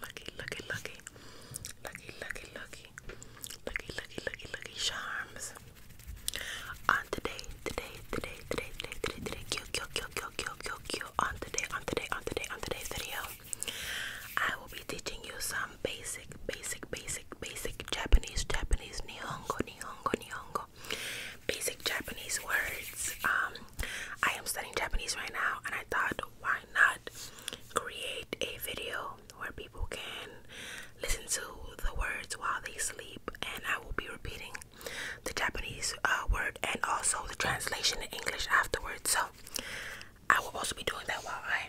lucky, lucky, lucky, lucky, lucky, lucky, lucky, lucky, lucky, lucky charms. On today, today, today, today, today, today, today, on today, on today, on today, on today's video, I will be teaching you some basic, basic, basic, basic Japanese, Japanese, Nihongo, Nihongo. Basic Japanese words. Um, I am studying Japanese right now, and I thought, why not create a video where people can listen to the words while they sleep, and I will be repeating the Japanese uh, word and also the translation in English afterwards. So I will also be doing that while I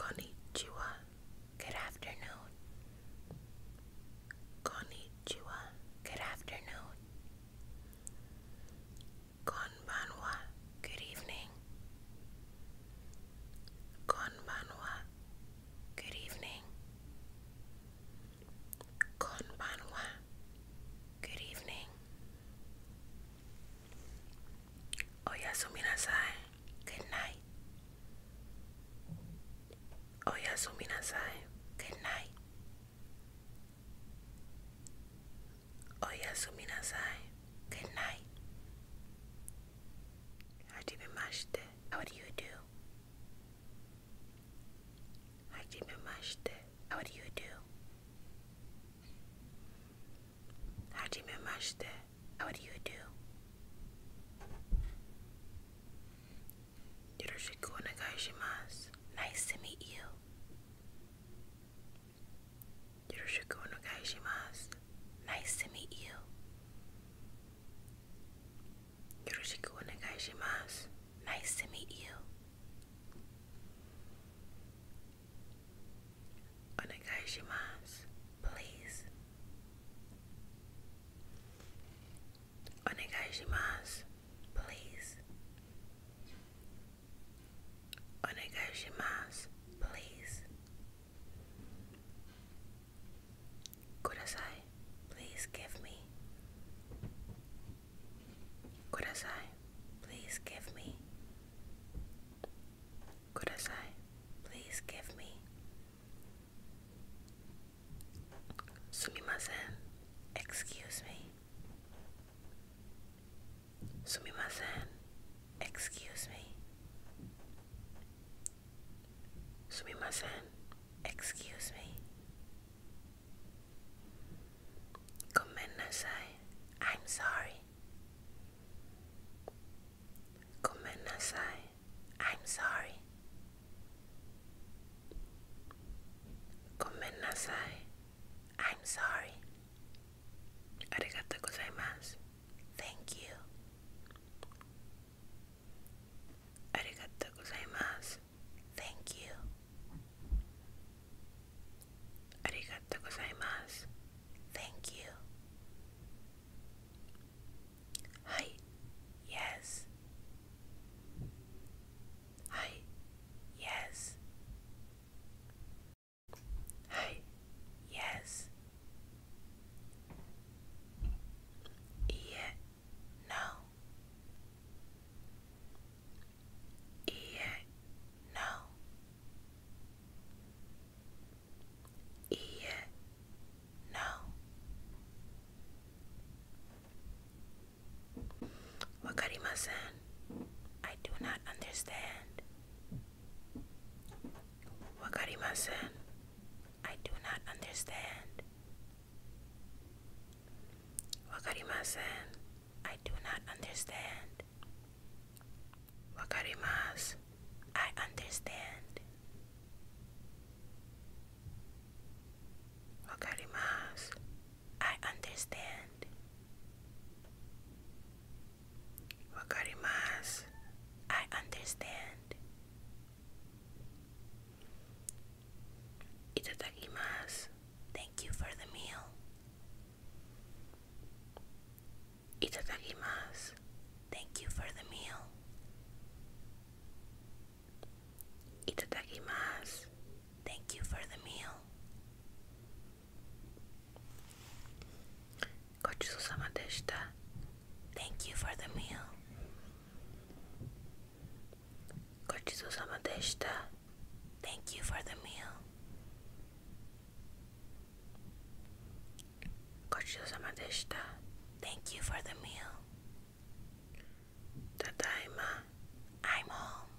Konnichiwa. Good afternoon. Konnichiwa. Good afternoon. Konbanwa. Good evening. Konbanwa. Good evening. Konbanwa. Good evening. Oh Yasuminasai, good night. Oh good night. Oh Yasuminasai, good night. Hajimemashite, how do you do? Hajimemashite, how do you do? Hajimemashite, what do you do? Yoroshiku onegaishimasu. Nice to meet you. Yoroshiku onegaishimasu. Nice to meet you. Yoroshiku onegaishimasu. Nice to meet you. Onegaishimasu, please. Onegaishimasu, please. Onegaishimasu, please. Kudasai, please give me. Kudasai, please give me. Kudasai, please give me. Sumimasen, excuse me. Sumimasen, excuse me. Sumimasen, excuse me. Komennasai, I'm sorry. Komenasai, I'm sorry. Komenasai, I'm sorry. Arigato gozaimasu, thank you. Arigato gozaimasu, thank you. ありがとうございます. Thank you. Hi. Yes. Hi. Yes. Hi. Yes. Yeah. No. Ear, no. Ear, no. Wakarimasen, I do not understand. I do not understand. I do not understand. Wakarimasu. I understand. Wakarimasu. I understand. Wakarimasu. I understand. Itadakimasu. Thank you for the meal. Itadakimasu. Thank you for the meal. Itadakimasu. Thank you for the meal. Gochisosama deshita. Thank you for the meal. Gochisosama deshita. Thank you for the meal. Gochiyosamadeshita. Thank you for the meal. Tadaima. I'm home.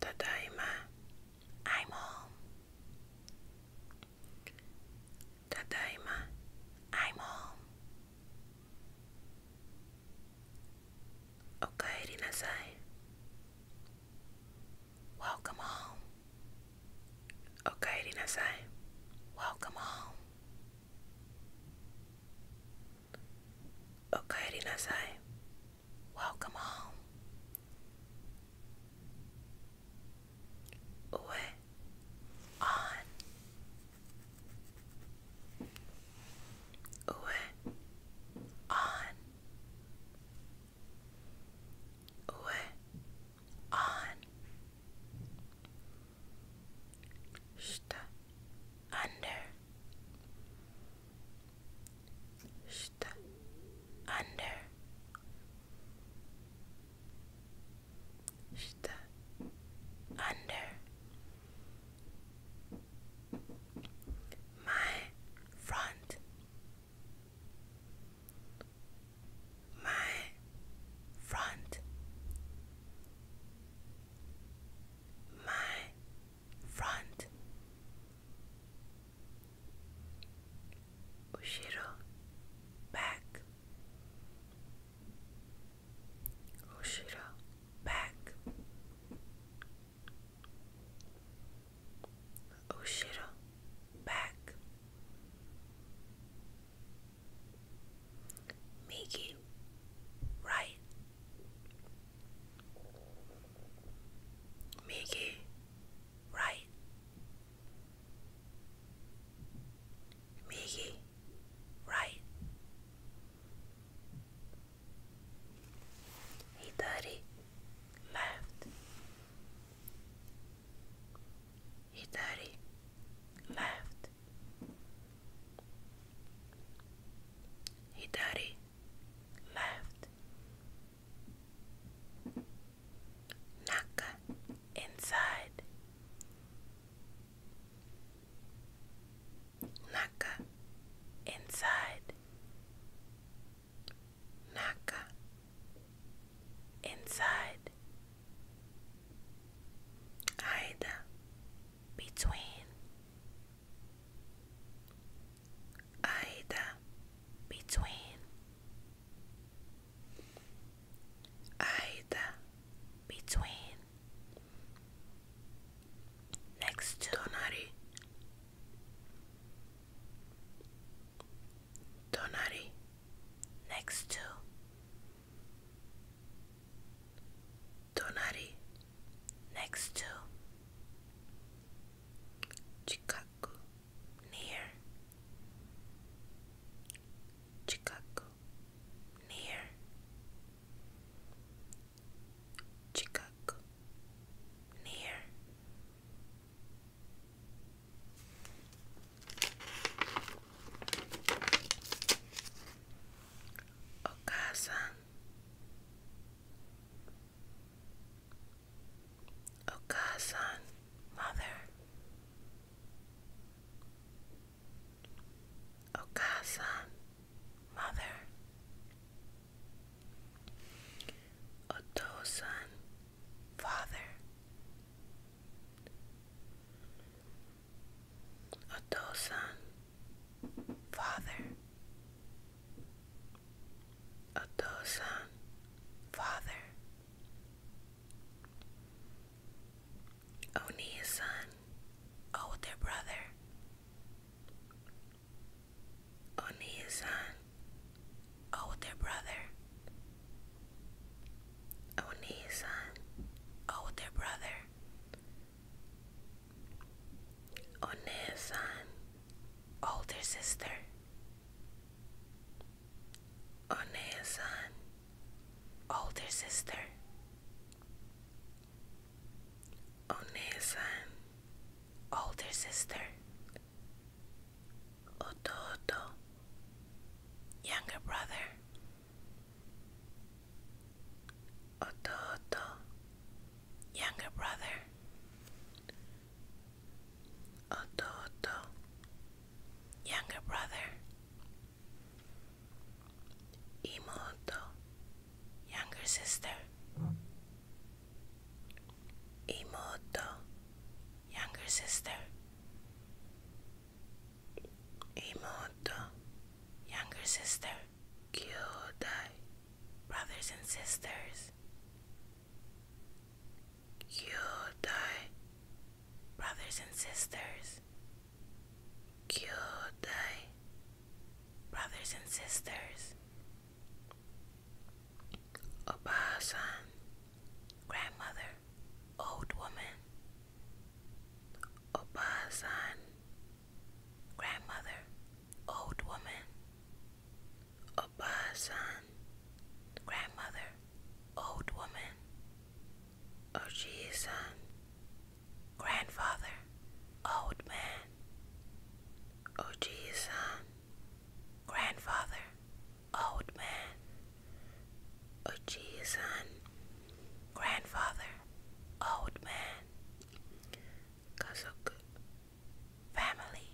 Tadaima. I'm home. Tadaima. I'm home. Okaeri nasai. Welcome home. Okaeri nasai. Welcome home. Okaeri nasai. Welcome home. Uwe. On. Uwe on Uwe on Shta under Shta under Shta under my front my front my front back Oshira back. Oshira back. Miki right. Miki right. Miki right? thirty left. thirty left. thirty left. Naka inside. Naka inside Naka inside Aida between Aida between Aida between Next to Donari. Donari. Next to Donari. Next to Chikaku. Near. Chikaku near Chicago, near Ocasa, Ocasa, mother. Okasa, mother. Otosan, father. Otosan, father. Otosan, father. Oni's son, older brother. Oni's older brother. Oni's older brother. Oni's older sister. Oni's son older sister. Onesan, older sister. Ototo, younger brother. Ototo, younger brother. Ototo, younger brother. Imoto, younger sister. Imoto, younger sister. Imoto, younger sister. Kyodai, brothers and sisters. Kyodai, brothers and sisters. Kyodai, brothers and sisters, oba grandmother, old woman, oba grandmother, old woman, oba grandmother, old woman, Oji oh, san, um, grandfather, old man. Oji oh, san, um, grandfather, old man. Oji oh, san, um, grandfather, old man. Kazoku, family.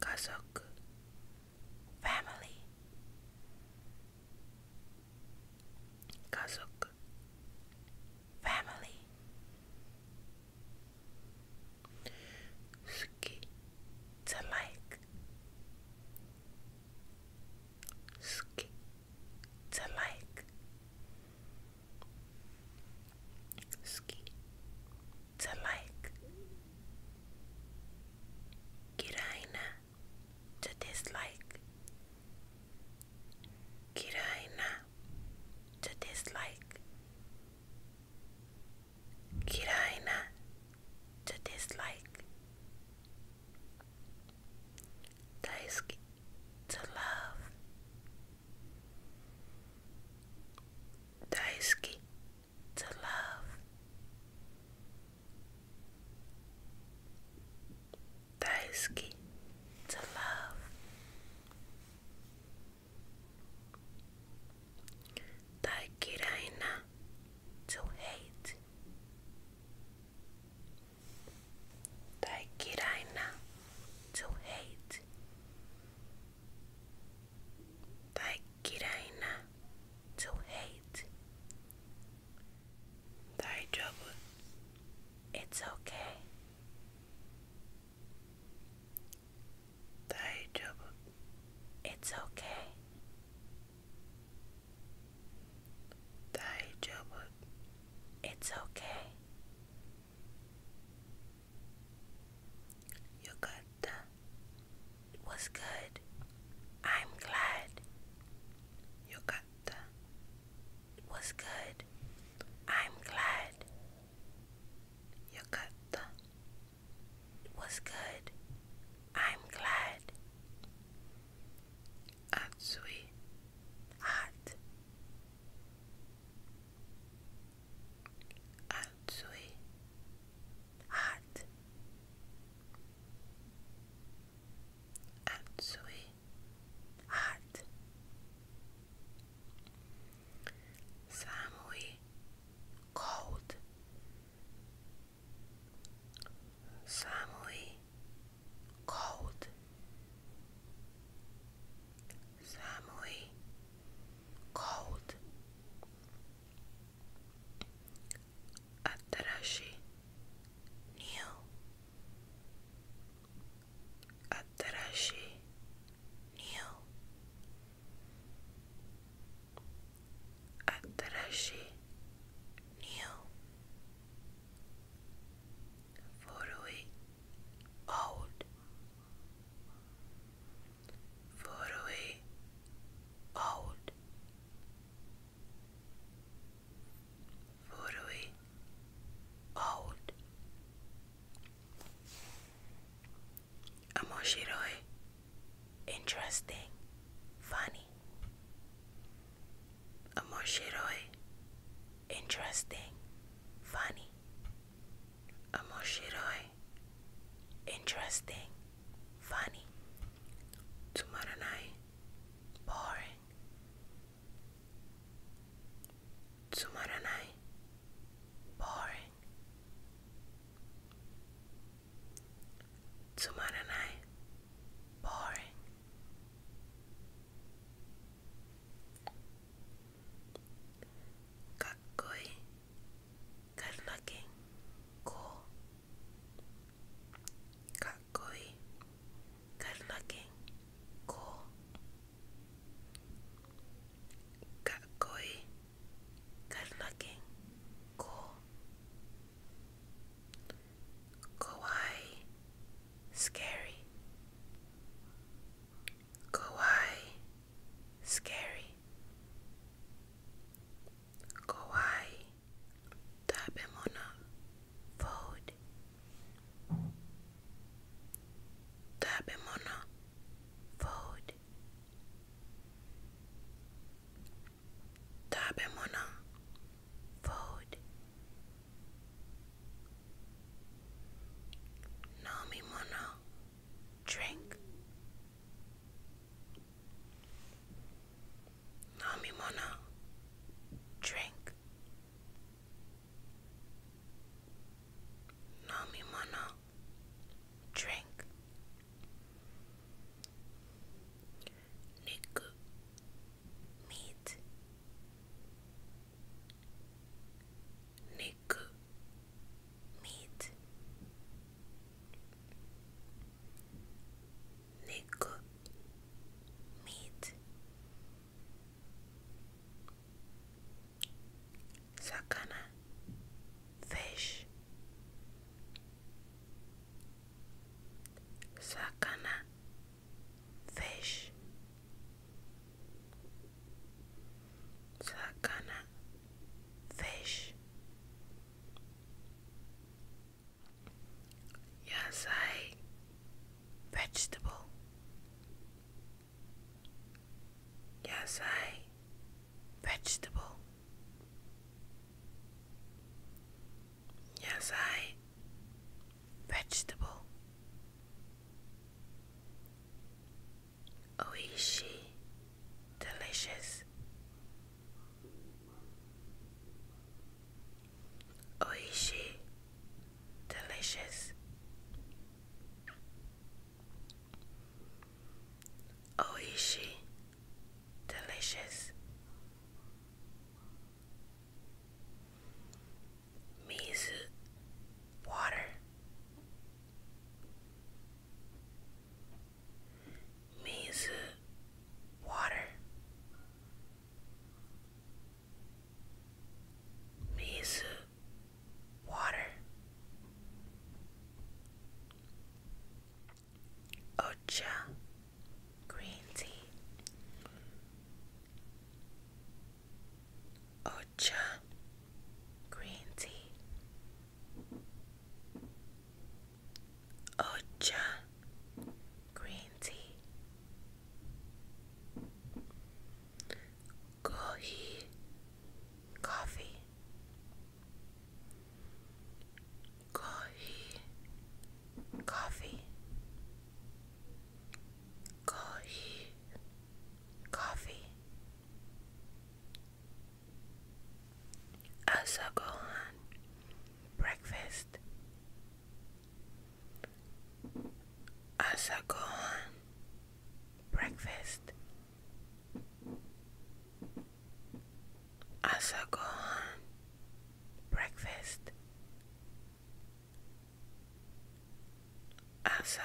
Kazoku, family. Kazuk family Suki to like Suki to like Suki to like Kiraina to dislike. Kirai to dislike. Kirai to dislike. Daisuki to love. Daisuki to love. Daisuke to love. Daikiraina to hate. Daikiraina to hate. Daikiraina to hate thy trouble. It's okay. Thy trouble. It's okay. Thy trouble. It's okay. You got that was good. I'm glad. Yokatta was good. I'm glad. Yokatta was good. I'm glad. Atsui hot. Atsui hot Atsui hot Samui cold Samui cold Samui cold Atarashi New Atarashi New Atarashi New Forty Old far away, out, far away, out. interesting, funny. Amoshiroi, interesting, funny. Amoshiroi, interesting, funny. Tomorrow night, boring. Tomorrow night, boring. Tomorrow night, boring. Kakoi, good looking, cool, kakui, good looking, cool, kakui, good looking, cool, kawaii, scary, kawaii scary, kawaii, tabemona, food, tabemona, food, tabemona, food. Nomimono drink. Namimona, drink. Namimona, drink. Niku, meat. Niku, meat Nick meat Sakana fish Sakana fish fish. Yes, I. vegetable. Yasai vegetable. Yasai vegetable. Oishi Delicious Oishi Delicious Oishi Delicious Mizu Water means water means water ocha green tea ocha green tea Ocha green tea Kohi coffee Kohi coffee Kohi coffee Asa Gohan Breakfast Asa Breakfast Asa Breakfast Asa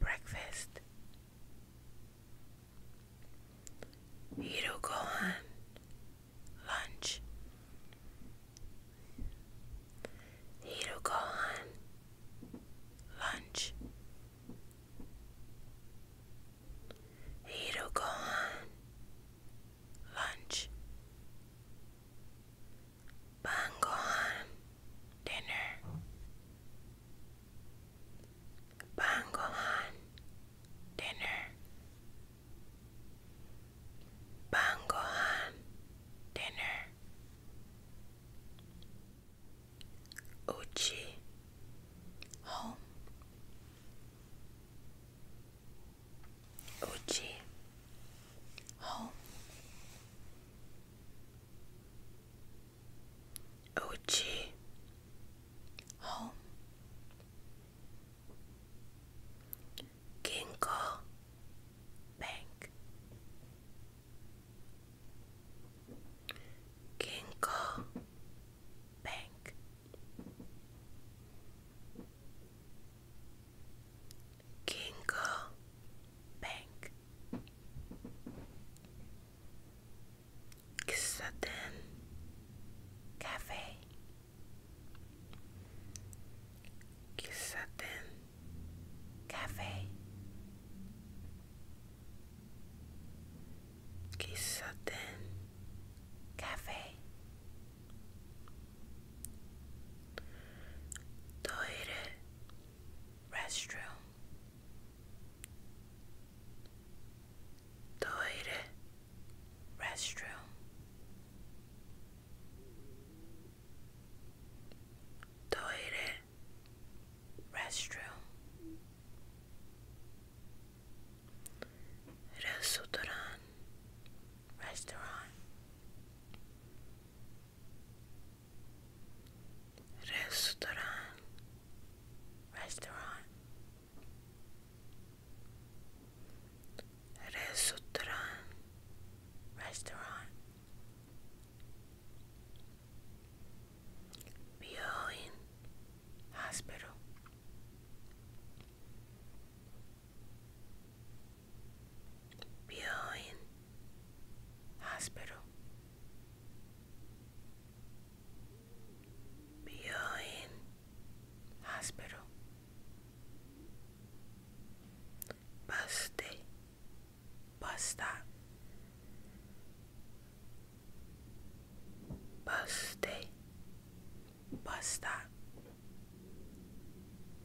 Breakfast Hiro Gohan Lunch Hiro Gohan Lunch Hiro Gohan Lunch Bangohan dinner. Bangohan dinner. Bangohan dinner. Uchi home. Uchi home. Uchi Home Ginkgo Bank Ginkgo Bank Kinko Bank Kisaten Cafe Kisaten Cafe Kisaten Cafe Toire restroom toire restroom toire restroom restaurant restaurant Restaurant. Restaurant. Restaurant. Restaurant. Building. Hospital. Building Hospital Building Hospital Bus Day Bus Stop Bus Day Bus Stop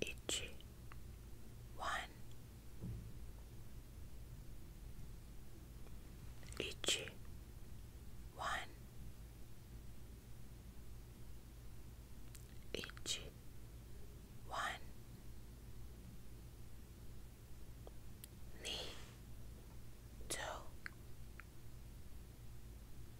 itchy one itchy one itchy one knee toe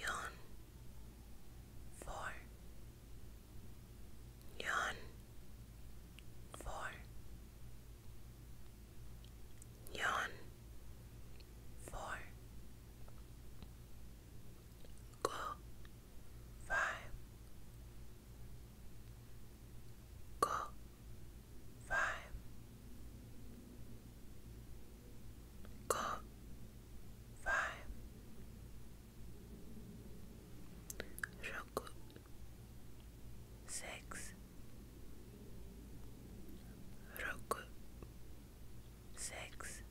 Yon four Yon four Yon four Go five Go five, go, five, Roku, six, Roku, six,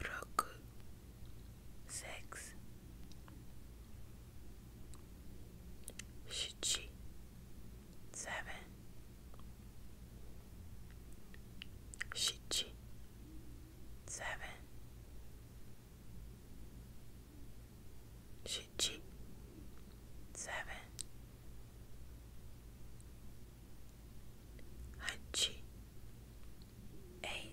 Roku, six. Shichi seven Shichi seven Shichi seven Hachi eight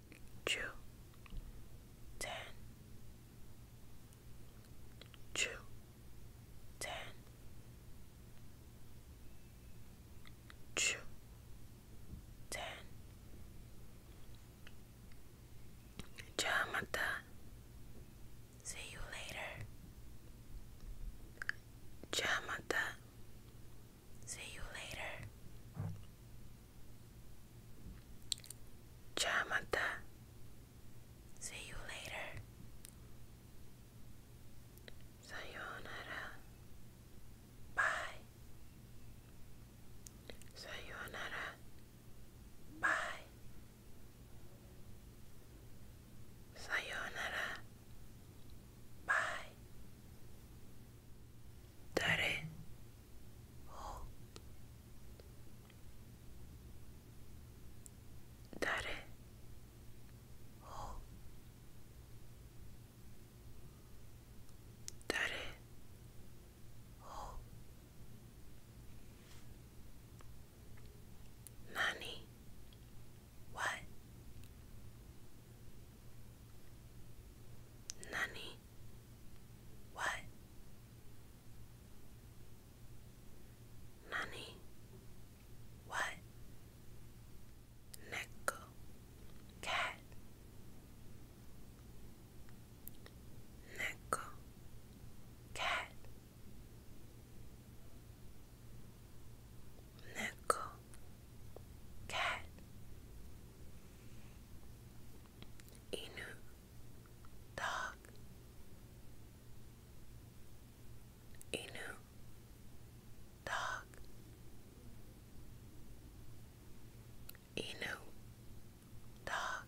two, ten, two, ten, two, ten. Ciao, Magda. See you later. Ciao, Magda. See you later. Chamata. See you later. Sayonara. Bye. Sayonara. Bye. Sayonara. Bye. 誰を誰を誰を何 what? Nani? What? Nani? What? Neko cat. Neko cat. Neko cat inu dog inu dog inu dog